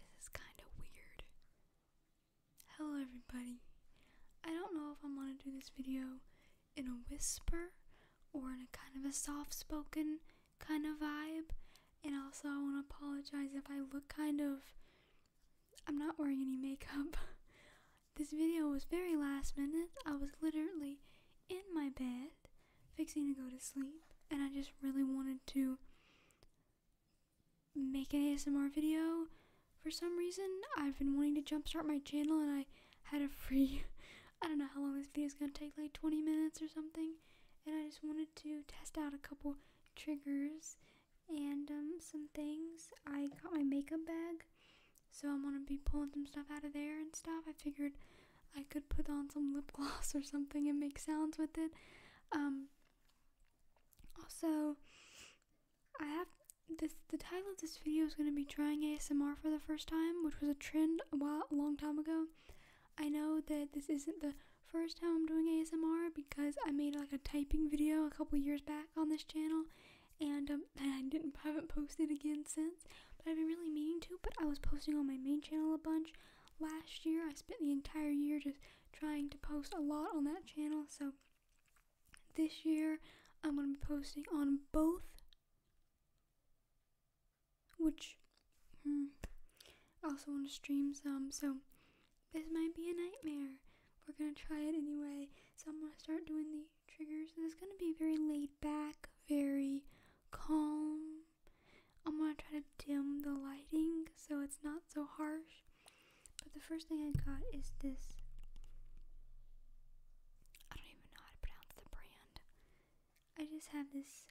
this is kind of weird. Hello, everybody. I don't know if I'm gonna do this video in a whisper or in a kind of a soft spoken kind of vibe. And also, I want to apologize if I look kind of. I'm not wearing any makeup. this video was very last minute. I was literally in my bed fixing to go to sleep, and I just really wanted to make an ASMR video. For some reason, I've been wanting to jumpstart my channel, and I had a free, I don't know how long this video is going to take, like 20 minutes or something, and I just wanted to test out a couple triggers and um, some things. I got my makeup bag, so I'm going to be pulling some stuff out of there and stuff. I figured I could put on some lip gloss or something and make sounds with it. Um, also, I have this. The title of this video is going to be trying ASMR for the first time, which was a trend a while, a long time ago. I know that this isn't the first time I'm doing ASMR because I made like a typing video a couple years back on this channel, and um, I didn't I haven't posted again since but I've been really meaning to. But I was posting on my main channel a bunch last year. I spent the entire year just trying to post a lot on that channel. So this year I'm going to be posting on both, which hmm, I also want to stream some. So this might be a nightmare. We're going to try it anyway. So I'm going to start doing the triggers. This is going to be very laid back, very calm. I'm gonna try to dim the lighting so it's not so harsh. But the first thing I got is this. I don't even know how to pronounce the brand. I just have this.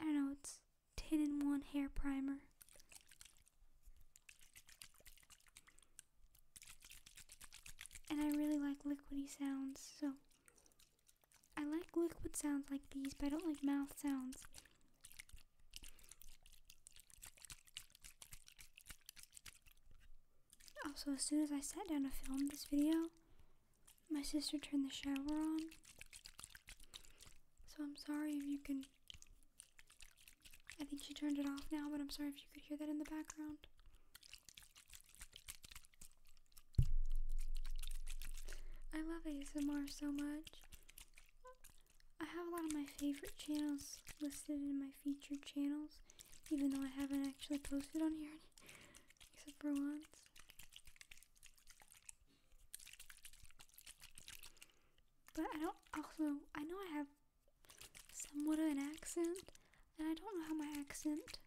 I don't know, it's 10 in 1 hair primer. And I really like liquidy sounds, so I like liquid sounds like these, but I don't like mouth sounds. Also, as soon as I sat down to film this video, my sister turned the shower on. So I'm sorry if you can. I think she turned it off now, but I'm sorry if you could hear that in the background. I love ASMR so much. I have a lot of my favorite channels listed in my featured channels, even though I haven't actually posted on here except for once. But I don't also I know I have somewhat of an accent, and I don't know how my accent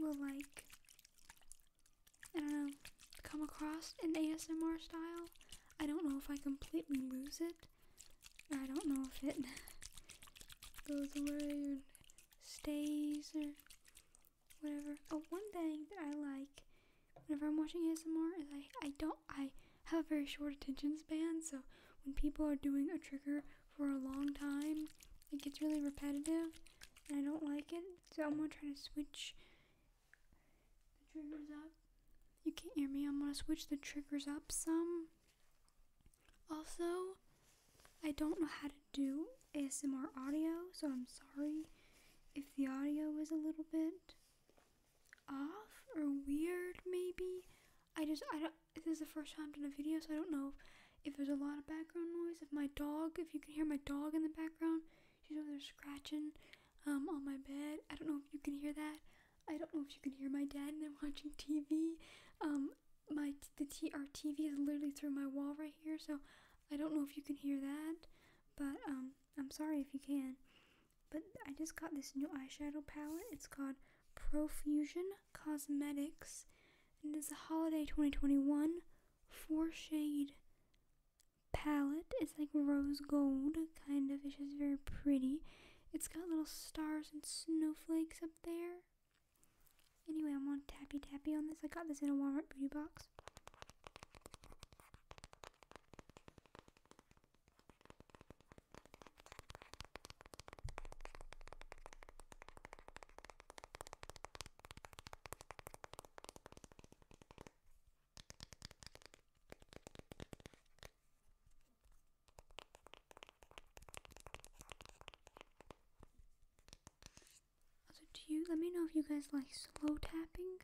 will like I don't know come across in ASMR style. I don't know if I completely lose it. I don't know if it goes away or stays or whatever. one thing that I like whenever I'm watching ASMR is I I don't I have very short attention span, so when people are doing a trigger for a long time, it gets really repetitive, and I don't like it, so I'm gonna try to switch the triggers up. You can't hear me, I'm gonna switch the triggers up some. Also, I don't know how to do ASMR audio, so I'm sorry if the audio is a little bit off or weird maybe. I just I don't this is the first time I've done a video, so I don't know if there's a lot of background noise. If my dog, if you can hear my dog in the background, she's over there scratching um, on my bed. I don't know if you can hear that. I don't know if you can hear my dad and they're watching TV. Um, my the t- our TV is literally through my wall right here, so I don't know if you can hear that. But um, I'm sorry if you can. But I just got this new eyeshadow palette. It's called Profusion Cosmetics. And it's a holiday 2021 four shade palette. It's like rose gold, kind of. It's just very pretty. It's got little stars and snowflakes up there. Anyway, I'm on Tappy Tappy on this. I got this in a Walmart beauty box. Also, do you let me know if you guys like slow tapping?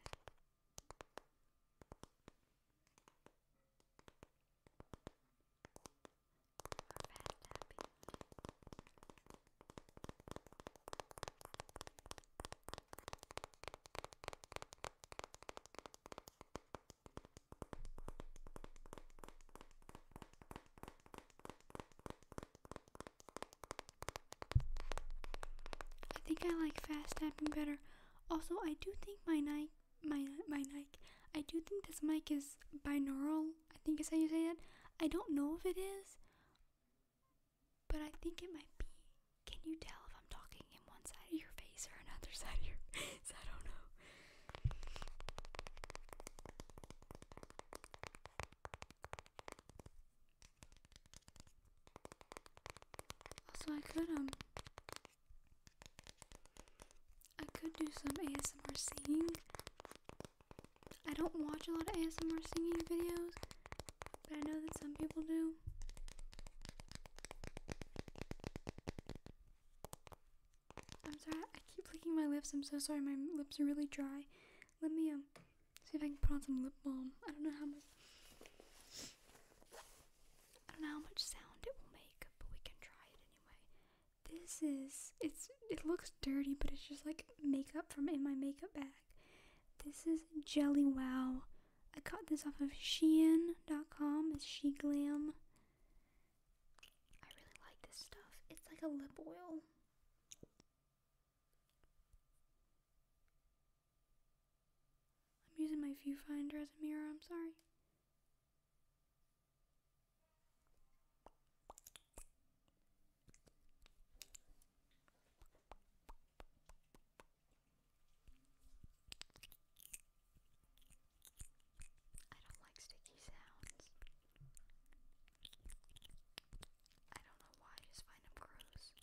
I think I like fast tapping better. Also, I do think my night my my mic. I do think this mic is binaural. I think is how you say it. I don't know if it is, but I think it might be. Can you tell if I'm talking in one side of your face or another side of your face? I don't know. Also, I could um I could do some ASMR singing. I don't watch a lot of ASMR singing videos, but I know that some people do. I'm sorry, I keep licking my lips. I'm so sorry, my lips are really dry. Let me um see if I can put on some lip balm. I don't know how much I don't know how much sound it will make, but we can try it this is it's it looks dirty, but it's just like makeup from in my makeup bag. This is Jelly Wow. I got this off of Shein.com. It's She Glam. I really like this stuff. It's like a lip oil. I'm using my viewfinder as a mirror. I'm sorry. I don't like sticky sounds. I don't know why, I just find them gross.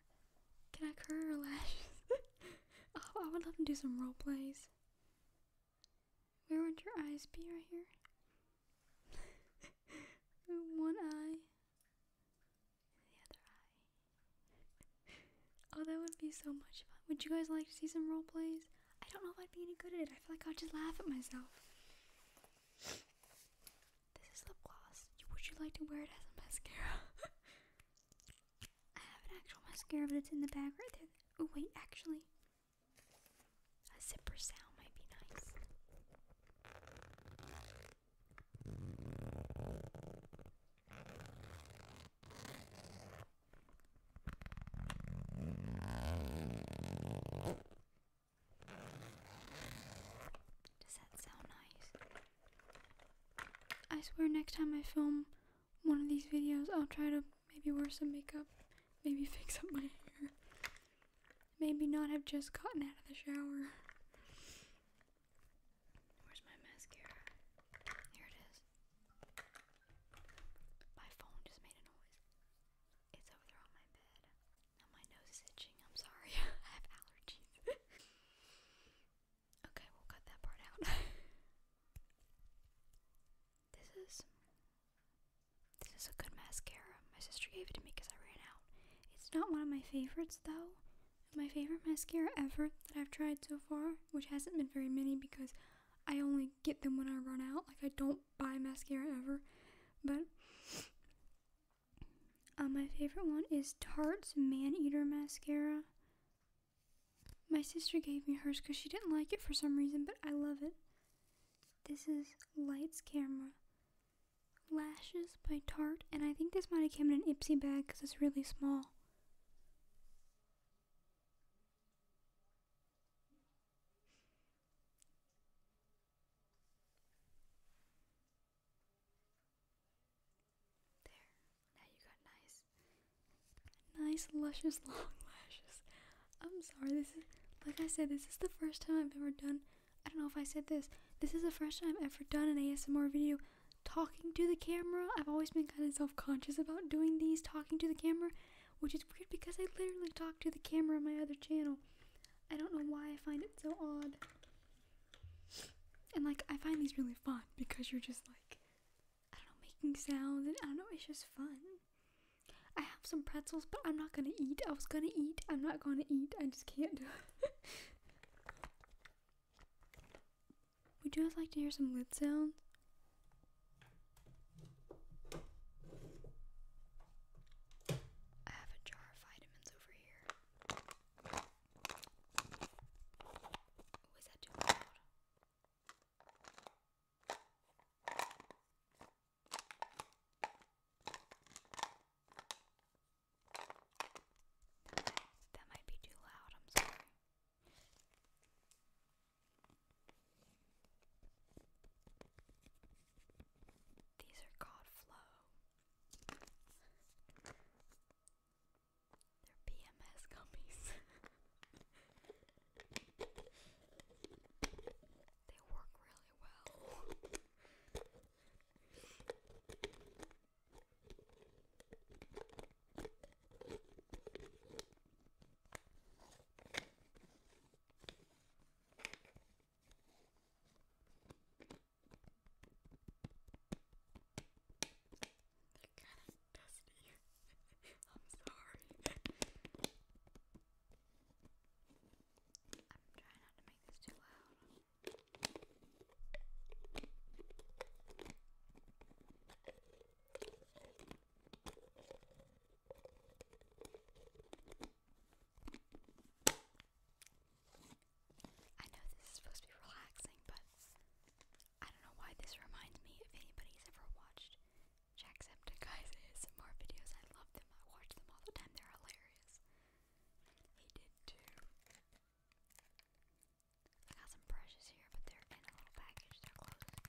Can I curl your lashes? oh, I would love to do some role plays. Where would your eyes be right here? One eye. The other eye. oh, that would be so much fun. Would you guys like to see some role plays? I don't know if I'd be any good at it. I feel like I'd just laugh at myself. This is lip gloss. Would you like to wear it as a mascara? I have an actual mascara, but it's in the bag right there. Oh, wait, actually, a zipper sound might be nice. Does that sound nice? I swear next time I film one of these videos, I'll try to maybe wear some makeup, maybe fix up my hair, maybe not have just gotten out of the shower. Where's my mascara? Here it is. My phone just made a noise. It's over there on my bed. Now my nose is itching. I'm sorry. I have allergies. Okay, we'll cut that part out. this is this is a good mascara. My sister gave it to me because I ran out. It's not one of my favorites though. My favorite mascara ever that I've tried so far, which hasn't been very many because I only get them when I run out. Like I don't buy mascara ever, but uh, my favorite one is Tarte's Man Eater mascara. My sister gave me hers because she didn't like it for some reason, but I love it. This is Lights Camera. Lashes by Tarte, and I think this might have came in an Ipsy bag because it's really small. There. Now you got nice, nice, luscious, long lashes. I'm sorry, this is, like I said, this is the first time I've ever done, I don't know if I said this, this is the first time I've ever done an ASMR video talking to the camera. I've always been kind of self conscious about doing these talking to the camera, which is weird because I literally talk to the camera on my other channel. I don't know why I find it so odd. And like I find these really fun because you're just like I don't know, making sounds and I don't know, it's just fun. I have some pretzels, but I'm not gonna eat. I was gonna eat. I'm not gonna eat. I just can't do it. Would you guys like to hear some lid sounds? I have a jar of vitamins over here. Oh, is that might be too loud, I'm sorry. These are called flow. They're PMS gummies. they work really well. They're kind of dusty. I'm sorry. I'm trying not to make this too loud. I know this is supposed to be relaxing, but I don't know why this reminds me. If anybody's ever watched Jacksepticeye's ASMR videos, I love them. I watch them all the time. They're hilarious. He did too. I got some brushes here, but they're in a little package. They're closed.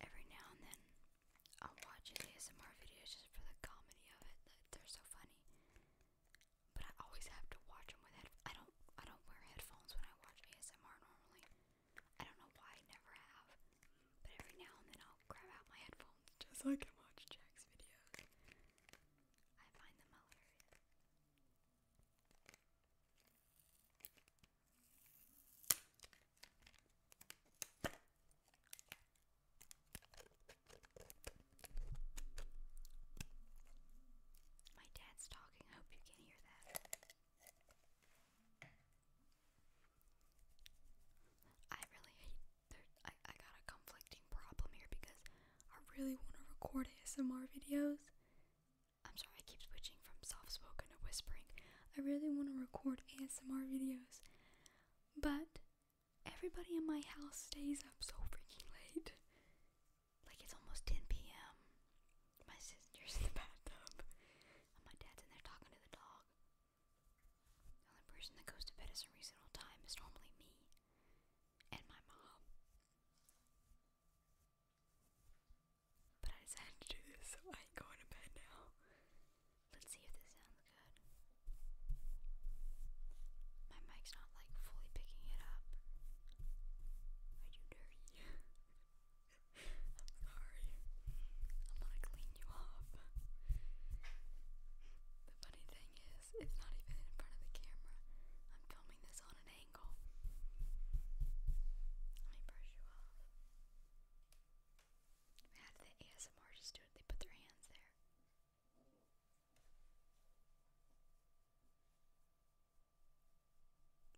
Every now and then, I'll watch ASMR videos just for the comedy of it. They're so funny. But I always have to watch them with headphones. I don't I don't wear headphones when I watch ASMR normally. I don't know why I never have. But every now and then I'll grab out my headphones just so I can watch Jack's videos. I find them hilarious. My dad's talking. hope you can hear that. I really I, I got a conflicting problem here because I really want to record ASMR videos. I'm sorry, I keep switching from soft spoken to whispering. I really want to record ASMR videos. But everybody in my house stays up so freaking late. Like it's almost 10 p.m. My sister's in the bathtub. And my dad's in there talking to the dog. The only person that goes to bed at a reasonable time is normally me and my mom. But I decided to do this, so I ain't going to bed now. Let's see if this sounds good. My mic's not like fully picking it up. Are you dirty? I'm sorry. I'm gonna clean you off. The funny thing is, it's not even in front of the camera. I'm filming this on an angle. Let me brush you off. How do the ASMR just They put their hands there.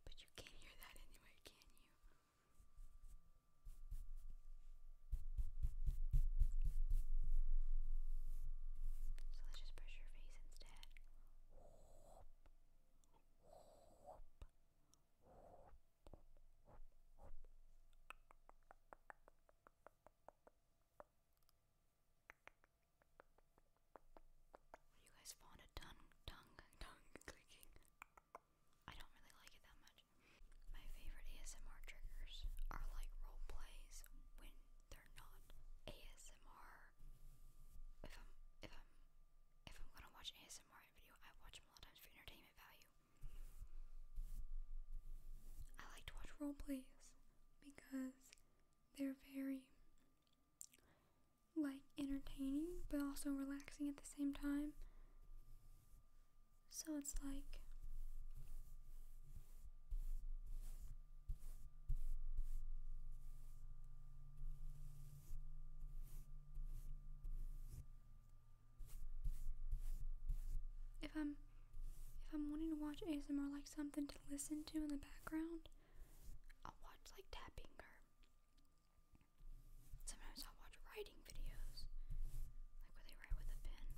But you can't hear that anyway, can you? So let's just brush your face instead. Whoop, whoop, you guys fond of tongue, tongue, tongue clicking? I don't really like it that much. My favorite ASMR triggers are like role plays when they're not ASMR. If I'm if I'm if I'm gonna watch ASMR video, I watch them a lot of times for entertainment value. I like to watch role plays because they're very like entertaining but also relaxing at the same time. So it's like if I'm if I'm wanting to watch ASMR like something to listen to in the background, I'll watch like tapping or sometimes I'll watch writing videos. Like where they write with a pen.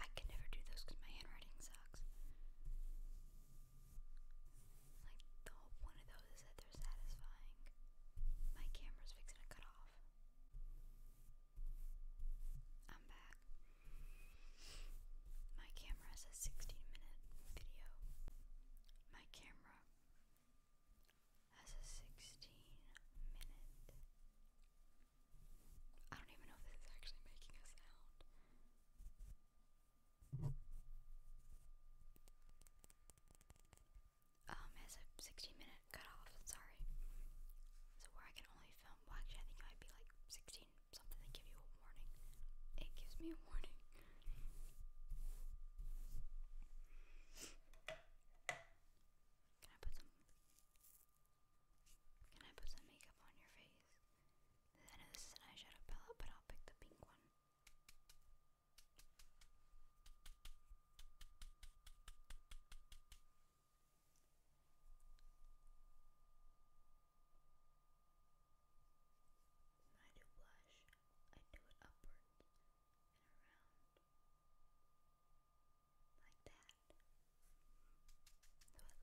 I can never do those because my handwriting sucks. Like the whole point of those is that they're satisfying. My camera's fixing to cut off. I'm back. My camera has a 16 minute video. My camera has a 16 minute. I don't even know if this is actually making a sound um has a 16 minute cutoff, sorry. So where I can only film actually I think it might be like 16 something they give you a warning. It gives me a warning. Can I put some Can I put some makeup on your face? this is an eyeshadow palette, but I'll pick the pink one. When I do blush, I do it upwards and around like that. So it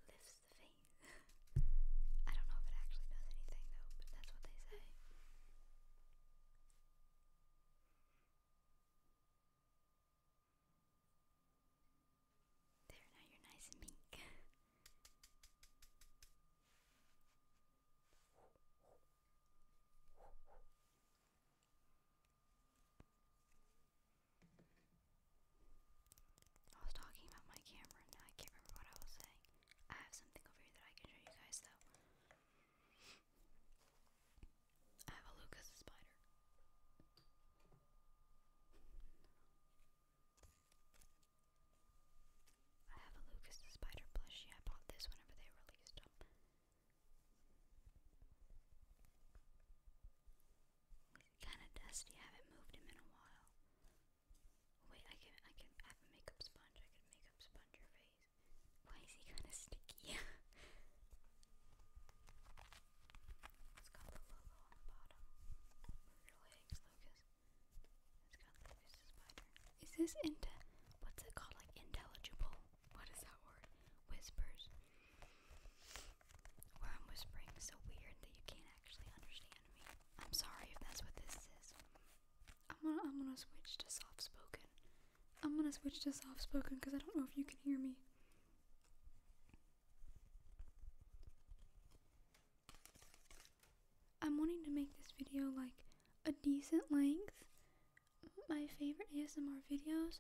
lifts the face. I don't know if it actually does anything though, but that's what they say. There, now you're nice and meek. I was talking about my camera and I can't remember what I was saying. I have something over here that I can show you guys though. I have a Lucas spider. I have a Lucas Spider plushie. I bought this whenever they released them. Kind of dusty. I haven't moved him in a while. Wait, I can, I can I have a makeup sponge. I can makeup sponge your face. Why is he kind of sticky? it's got the logo on the bottom. Move your legs, It's got Lucas the spider. Is this into what's it called? Like intelligible? What is that word? Whispers. Where I'm whispering so weird that you can't actually understand me. I'm sorry if that's what this is. I'm gonna I'm gonna switch to soft spoken. I'm gonna switch to soft spoken because I don't know if you can hear me. I'm wanting to make this video like a decent length. My favorite ASMR videos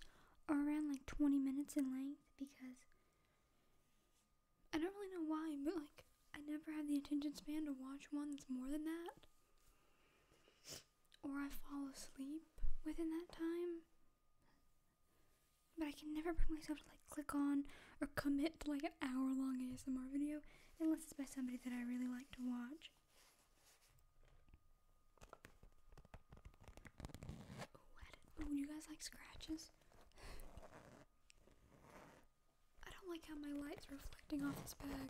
are around like 20 minutes in length because I don't really know why, but like I never have the attention span to watch one that's more than that or I fall asleep within that time. But I can never bring myself to like click on or commit to like an hour long ASMR video unless it's by somebody that I really like to watch. oh you guys like scratches? I don't like how my light's reflecting off this bag.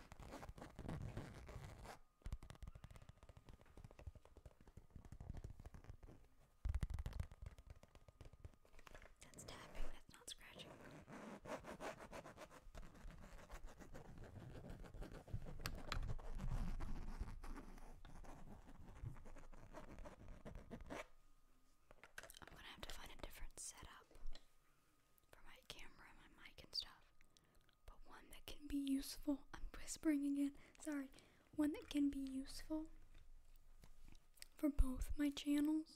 That's tapping, that's not scratching. I'm gonna have to find a different setup for my camera, my mic, and stuff but one that can be useful. I'm whispering again, sorry. One that can be useful for both my channels.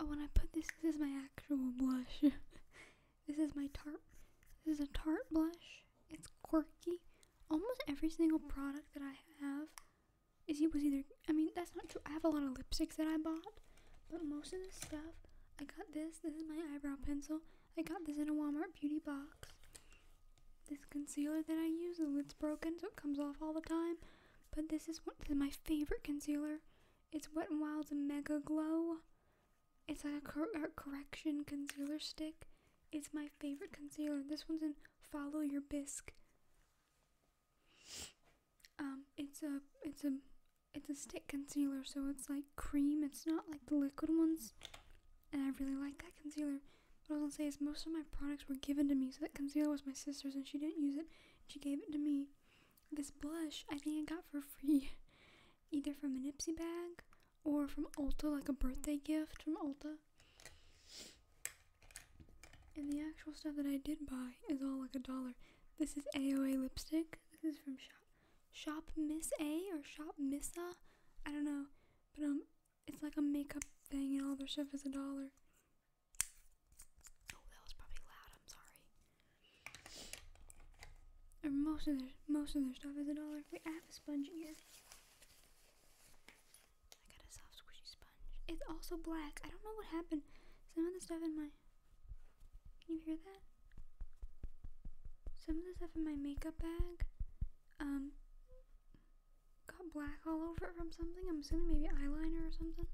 Oh, when I put this, this is my actual blush. this is my tart. This is a tart blush. It's quirky almost every single product that I have is it was either I mean that's not true. I have a lot of lipsticks that I bought, but most of the stuff I got this. This is my eyebrow pencil. I got this in a Walmart beauty box. This concealer that I use, the lid's broken, so it comes off all the time. But this is one this is my favorite concealer. It's Wet n Wild's Mega Glow. It's like a correction concealer stick. It's my favorite concealer. This one's in Follow Your Bisque. Um, it's a it's a it's a stick concealer, so it's like cream. It's not like the liquid ones, and I really like that concealer. What I was gonna say is most of my products were given to me, so that concealer was my sister's, and she didn't use it. She gave it to me. This blush I think I got for free, either from a Nipsey bag or from Ulta, like a birthday gift from Ulta. And the actual stuff that I did buy is all like a dollar. This is AOA lipstick. This is from Shop, Miss A or Shop Missa. I don't know, but um, it's like a makeup thing, and all their stuff is a dollar. Oh, that was probably loud. I'm sorry. Or most of their most of their stuff is a dollar. Wait, have a sponge in here. I got a soft squishy sponge. It's also black. I don't know what happened. Some of the stuff in my Can you hear that? Some of the stuff in my makeup bag um got black all over it from something. I'm assuming maybe eyeliner or something.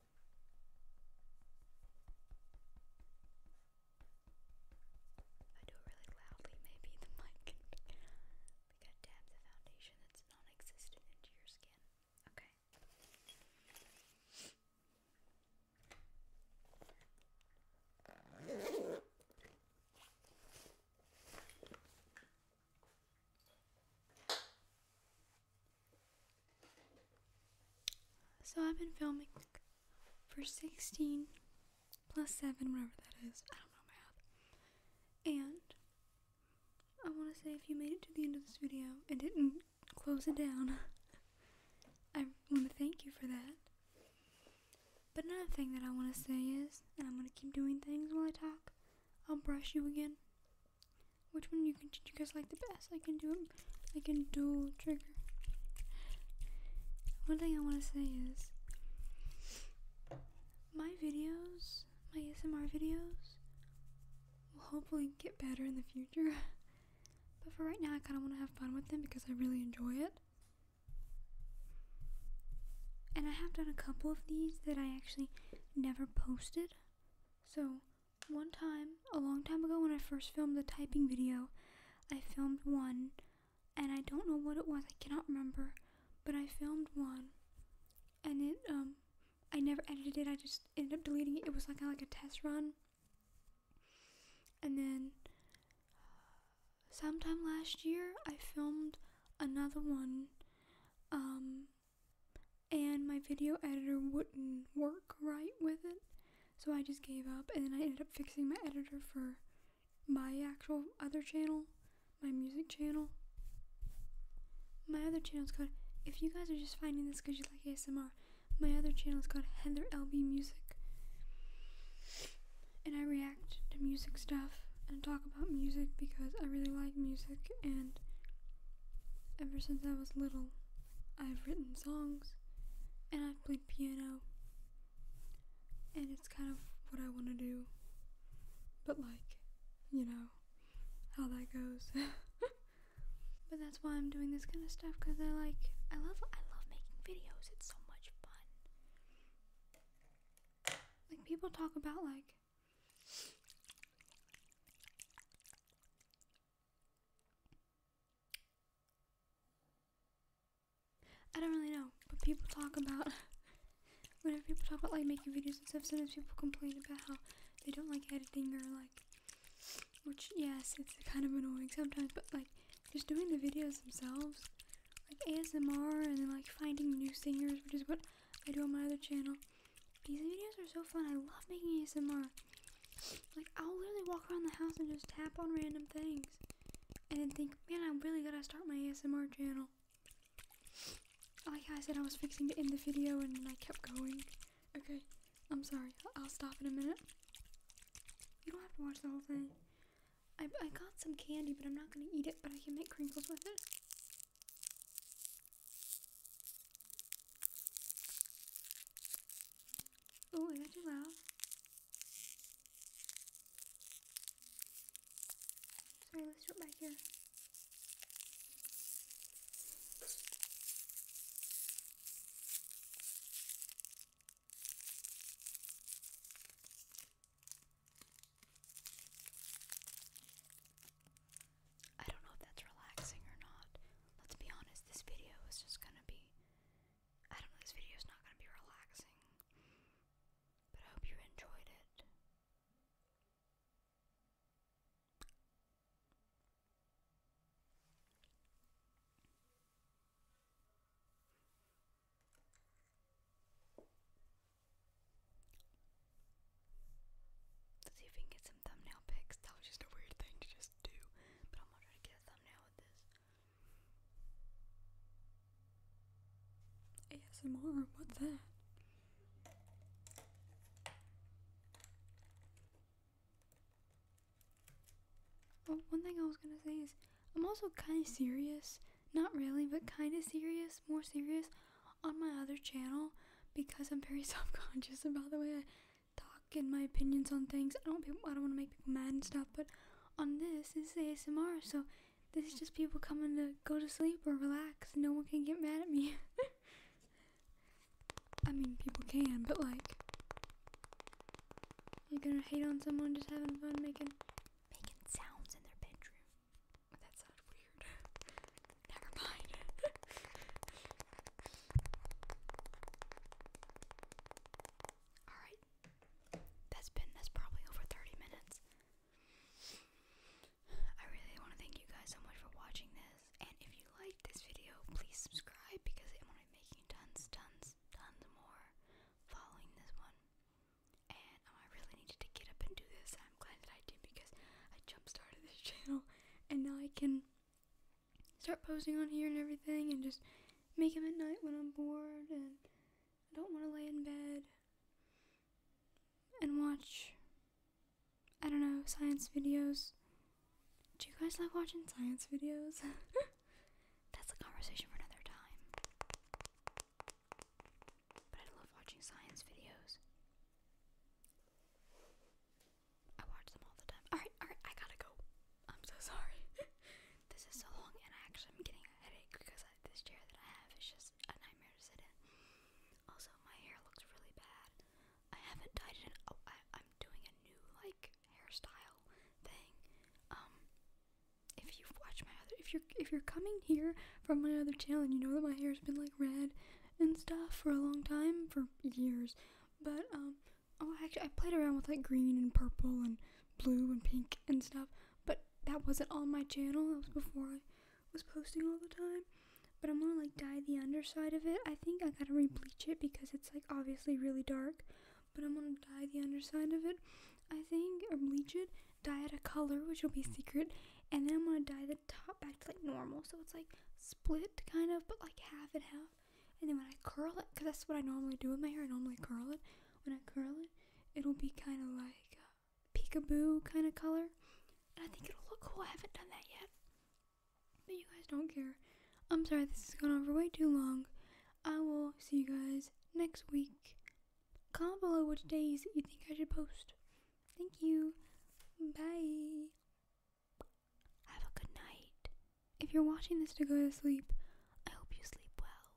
If I do it really loudly, maybe the mic We gotta dab the foundation that's non-existent into your skin. Okay. So I've been filming for 16 plus 7, whatever that is. I don't know math. And I want to say if you made it to the end of this video and didn't close it down, I want to thank you for that. But another thing that I want to say is, and I'm going to keep doing things while I talk, I'll brush you again. Which one you you guys like the best? I can do I can dual trigger. One thing I want to say is my videos, my ASMR videos, will hopefully get better in the future. but for right now, I kind of want to have fun with them because I really enjoy it. And I have done a couple of these that I actually never posted. So, one time, a long time ago when I first filmed the typing video, I filmed one, and I don't know what it was, I cannot remember, but I filmed one, and it, um, I never edited it, I just ended up deleting it. It was like, like a test run. And then, sometime last year, I filmed another one, um, and my video editor wouldn't work right with it, so I just gave up. And then I ended up fixing my editor for my actual other channel, my music channel. My other channel is called, if you guys are just finding this because you like ASMR, my other channel is called Heather LB Music. And I react to music stuff and talk about music because I really like music and Ever since I was little, I've written songs and I've played piano, and it's kind of what I want to do, but like, you know, how that goes. but that's why I'm doing this kind of stuff because I like, I love, I love making videos. It's so much fun. Like people talk about like I don't really know, but people talk about whenever people talk about like making videos and stuff, sometimes people complain about how they don't like editing or like which yes, it's kind of annoying sometimes, but like just doing the videos themselves, like ASMR and then like finding new singers, which is what I do on my other channel. These videos are so fun. I love making ASMR. Like, I'll literally walk around the house and just tap on random things. And then think, man, I'm really going to start my ASMR channel. Like oh, I said, I was fixing to end the video and I kept going. Okay, I'm sorry. I'll stop in a minute. You don't have to watch the whole thing. I, I got some candy, but I'm not gonna eat it, but I can make crinkles with it. Oh, is that too loud? Sorry, let's jump back here. I don't know if that's relaxing or not. Let's be honest, this video is just gonna be. I don't know, this video is not gonna be relaxing. But I hope you enjoyed it. Let's see if we can get some thumbnail pics. That was just a weird thing to just do, but I'm gonna try to get a thumbnail with this. ASMR, what's that? Well, one thing I was gonna say is I'm also kind of serious. Not really, but kind of serious. More serious on my other channel because I'm very self-conscious about the way I talk and my opinions on things. I don't I don't want to make people mad and stuff, but on this, it's ASMR, so this is just people coming to go to sleep or relax. No one can get mad at me. I mean, people can, but like, you're gonna hate on someone just having fun making making sounds in their bedroom. That sounded weird. Never mind. Alright. That's been that's probably over 30 minutes. I really want to thank you guys so much for watching this. And if you liked this video, please subscribe because I'm gonna be making tons, tons, tons more following this one. And um, I really needed to get up and do this. I'm glad that I did because I jump started this channel and now I can start posing on here and everything and just make them at night when I'm bored and I don't want to lay in bed and watch I don't know science videos. Do you guys like watching science videos? That's a conversation for another time. But I love watching science videos. I watch them all the time. Alright, alright, I gotta go. I'm so sorry. this is so long, and I actually am getting a headache because this chair that I have is just a nightmare to sit in. Also, my hair looks really bad. I haven't dyed it in. Oh, I, I'm doing a new, like, hairstyle thing. Um. If you've watched my other, if you're if you're coming here from my other channel and you know that my hair's been like red and stuff for a long time, for years. But um, oh, actually, I played around with like green and purple and blue and pink and stuff. But that wasn't on my channel. That was before I was posting all the time. But I'm gonna like dye the underside of it. I think I gotta rebleach it because it's like obviously really dark. But I'm gonna dye the underside of it. I think or bleach it, dye it a color, which will be secret, and then I'm gonna dye the top back to like normal. So it's like split kind of, but like half and half. And then when I curl it, because that's what I normally do with my hair, I normally curl it. When I curl it, it'll be kind of like peekaboo kind of color. And I think it'll look cool. I haven't done that yet. But you guys don't care. I'm sorry, this has gone on for way too long. I will see you guys next week. Comment below which days you think I should post. Thank you. Bye. Have a good night. If you're watching this to go to sleep, I hope you sleep well.